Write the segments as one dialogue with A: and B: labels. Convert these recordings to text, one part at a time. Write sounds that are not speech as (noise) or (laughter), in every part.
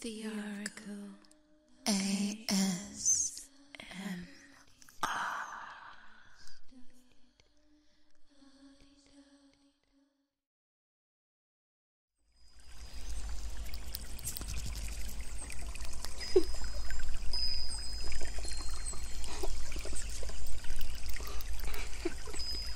A: The Oracle ASMR. (laughs)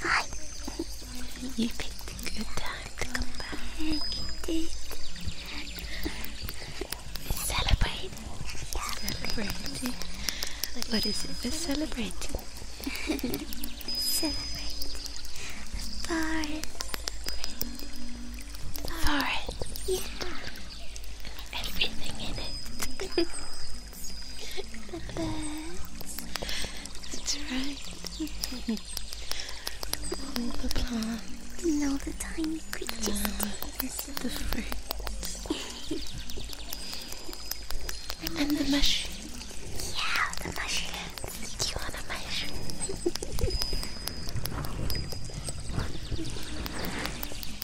A: Hi. You picked a good time to come back. You did. We're celebrating. Celebrating. What is it we're celebrating? celebrating. Forest. The Forest. Yeah everything in it. the birds, that's right. all the plants, and all the tiny creatures. the fruits, and, the mushrooms. Yeah, the mushrooms. Do you want a mushroom? (laughs)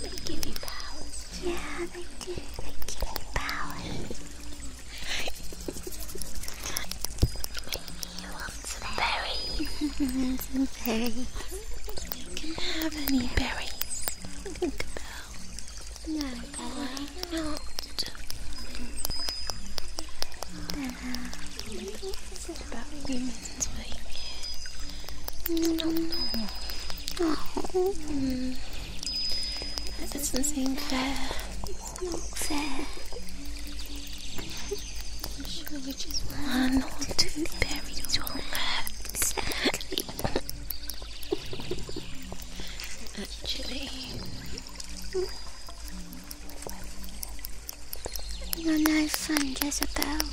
A: They give you powers (laughs) too. Yeah, they do. They give me powers. Maybe you want some berries. some berries. You can have any berries. Think about no, I not. This is about women's week. Not normal. Oh. Mm. That doesn't seem fair. It's not fair. I'm sure which is why I'm not too buried on that. Exactly. Actually, you're no fun, Jezebel.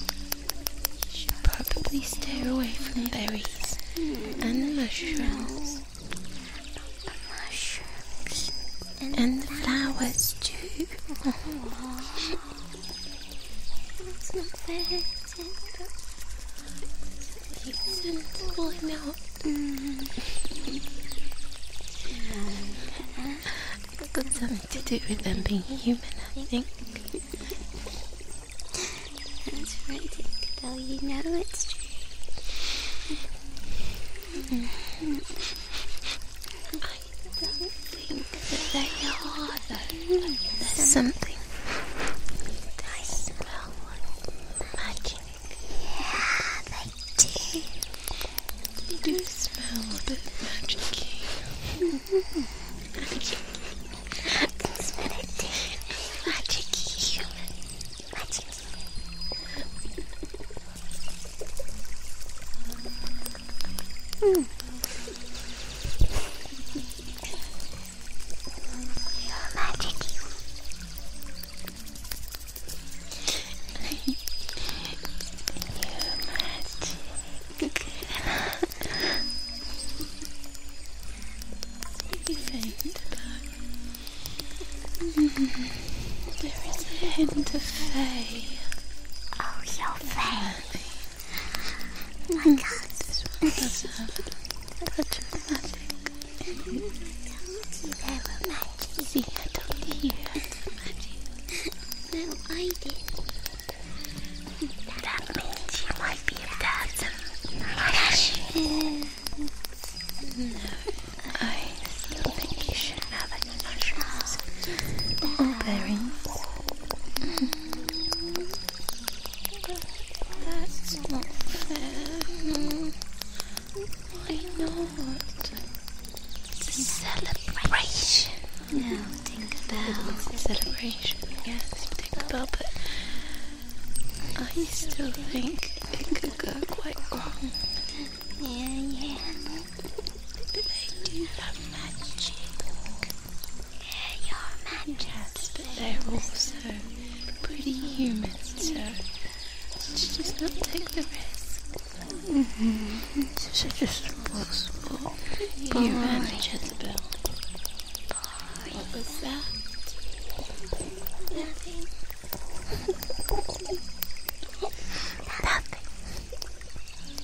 A: probably stay away from berries hmm. and mushrooms. No. mushrooms. And, the flowers, too. (laughs) It's not fair, is it? He isn't pulling out. It's got something to do with them being human, I think. That's right, Dickadell. You know it's true. I do think that they are, though. something. They smell like magic. Yeah, they do. do smell a bit magic hmm you magic. You're magic. you faint mm, There is a hint of fay. Oh, you fay. My cats. They were magic. See, I told you magic. No, I That means you might be a dad. My gosh. No, I still think you should have an insurance. Or bearings. That's not fair. Why not? It's a celebration. Now think about it's celebration. Yes, think about it. I still think it could go quite wrong. Yeah, yeah. They do have magic. They're your magic. but they're also pretty human, so she does not take the risk. Mm mm-hmm. just This is just impossible. You and Jezebel. What was that? Nothing.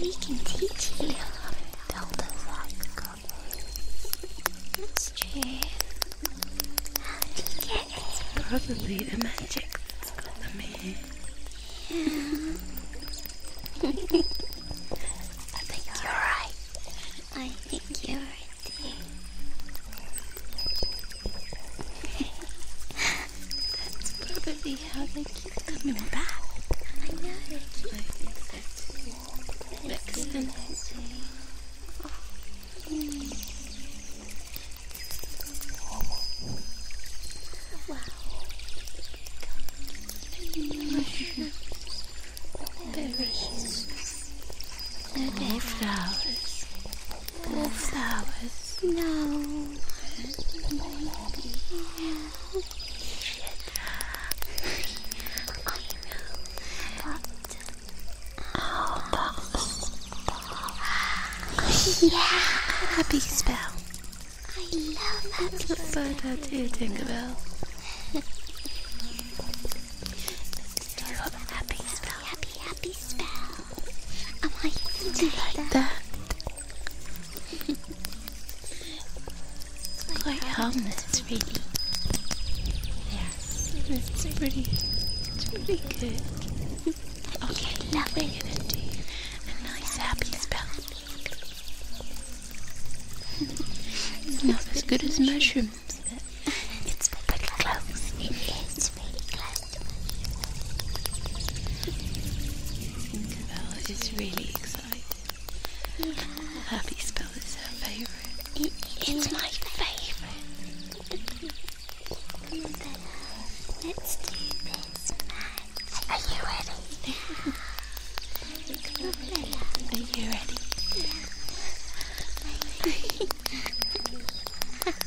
A: we can teach you. Don't That's true. How did It's probably the magic that's got them here. Yeah. you're right. I think you're right, (laughs) That's probably how they keep coming back. I know they keep I think so too. Wow. more flowers. More flowers. No. Yeah. Happy spell. I love happy spell. So that you, Tinkerbell. Do you happy spell? Happy, happy spell. I like that. Quite harmless, really. Yeah. It's pretty. It's pretty good. okay, now we gonna do a nice happy spell. (laughs) not as good as mushrooms. It's pretty close it's really is really excited. Happy Spell is her favourite. it's my favourite. let's do this match. Are you ready? Cabela, are you ready? Yeah. (laughs)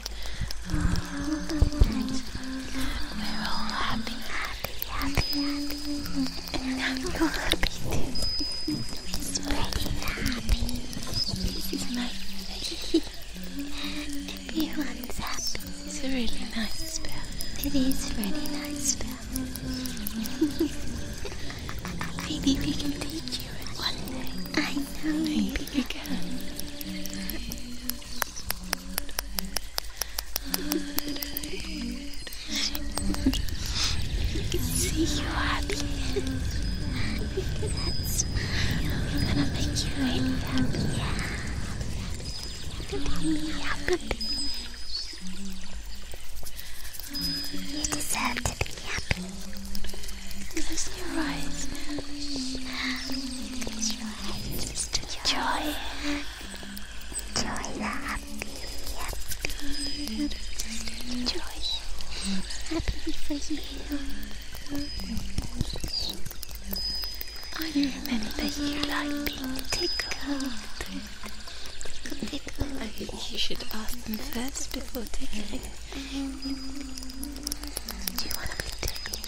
A: We're all happy, happy, happy, happy. And now you're happy too. It's pretty happy. This is my face. Everyone's happy. It's a really nice spell. (laughs) It is a really nice spell. (laughs) Maybe we can teach you it one day. I know. Maybe we can see you happy. That's gonna make you happy. Happy, You deserve to be happy. Close your eyes Use your hands just to enjoy it. Enjoy the happy, happy. Just enjoy it. Happy for you. Oh, you remember you like being tickled. Tickle, tickle. I think you should ask them first before tickling. Do you want to be tickled?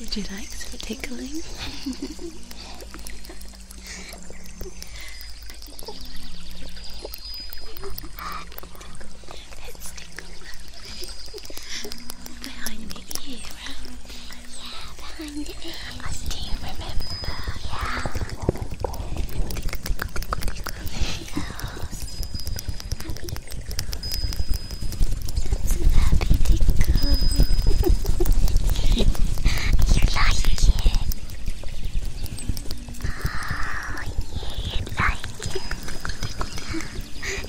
A: Would you like some tickling? Let's tickle behind the ear. Yeah, behind the ear. I do remember. Yeah. Nothing else. Happy That's an happy tickle. you like it. Oh, yeah, you like it.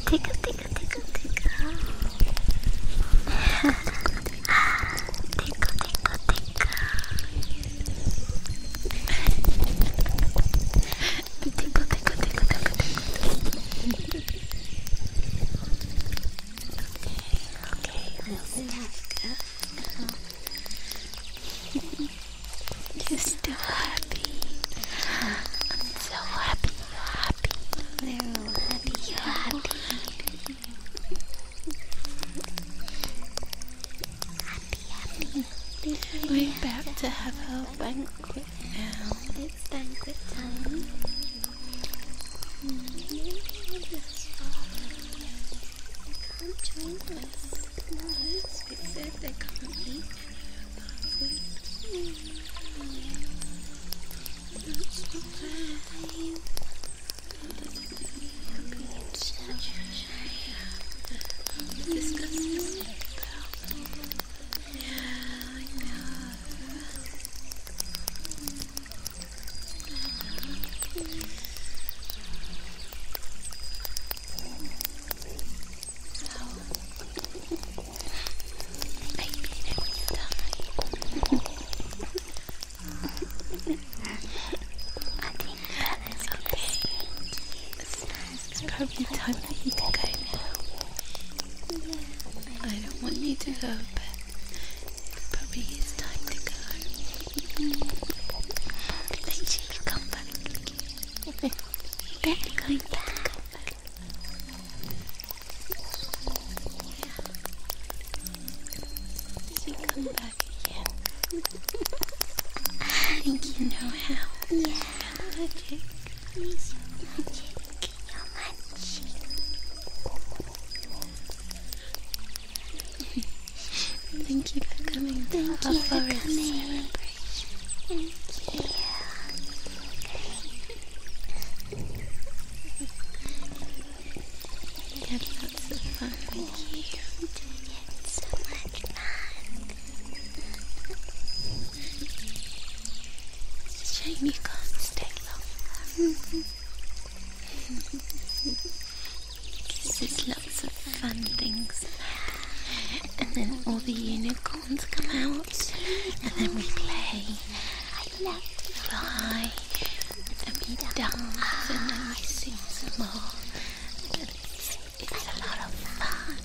A: Tickle, tickle, tickle, tickle. tickle, tickle, tickle tickle, tickle, tickle, tickle, tickle. Okay, okay, let's go. You're still happy. I'm so happy you're happy. We're all happy you're happy. happy. We're back to have our banquet now. It's banquet time. can't join us. No, we said they can't eat. This goes this way, though. Yeah, I know. So, I beat it with time. I think that is okay. It's probably time for you to go now. I don't want you to go, but it probably is time to go. Make come back. You're going back. You come back you. I think you know how. Yeah. You're magic. Please, you're You're magic. Thank you for coming. Thank you for coming. Thank you. It's so fun with you. i doing it so much fun. It's a shame you can't stay longer. Because there's lots of fun things and then all the unicorns come out, and then we play, I love to and we dance, and then I sing some more, it's a lot of fun.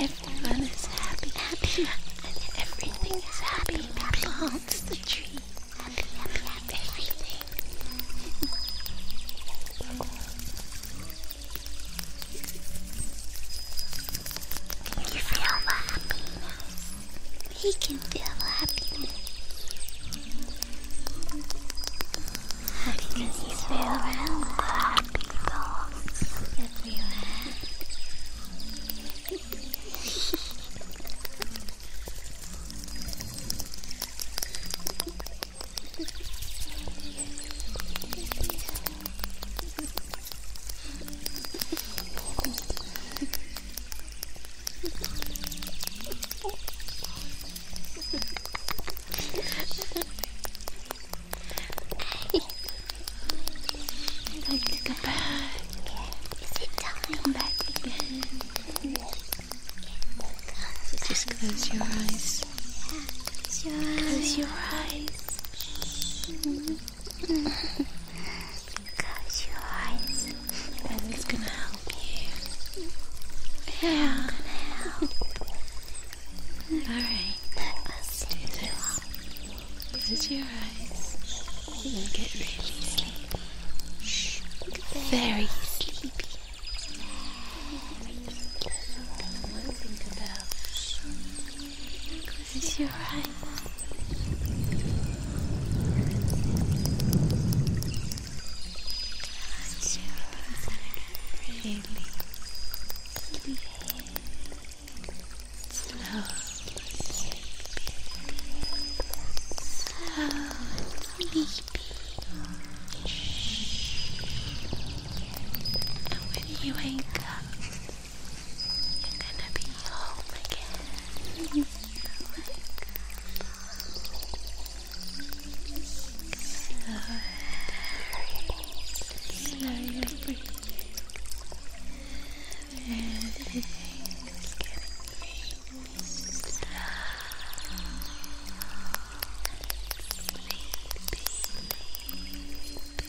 A: everyone is happy, happy, and everything is happy. Plants the tree. Happy, Everything. Can you feel he can feel happiness. Because he's around the happy everywhere. (laughs) I'd like to go back. Is it time? Come back again. Just close your eyes. close your eyes. Close your eyes. Ben's gonna help you. Yeah. i Alright. I'll Do this. Close your eyes. You'll get really sleepy. Shh. Very sleepy. Close your eyes. Close your eyes. Really. Sleep. Slow. Sleepy. And when you wake up, you're gonna be home again. Slow your breathing. Everything's getting sleepy. Sleepy, sleepy.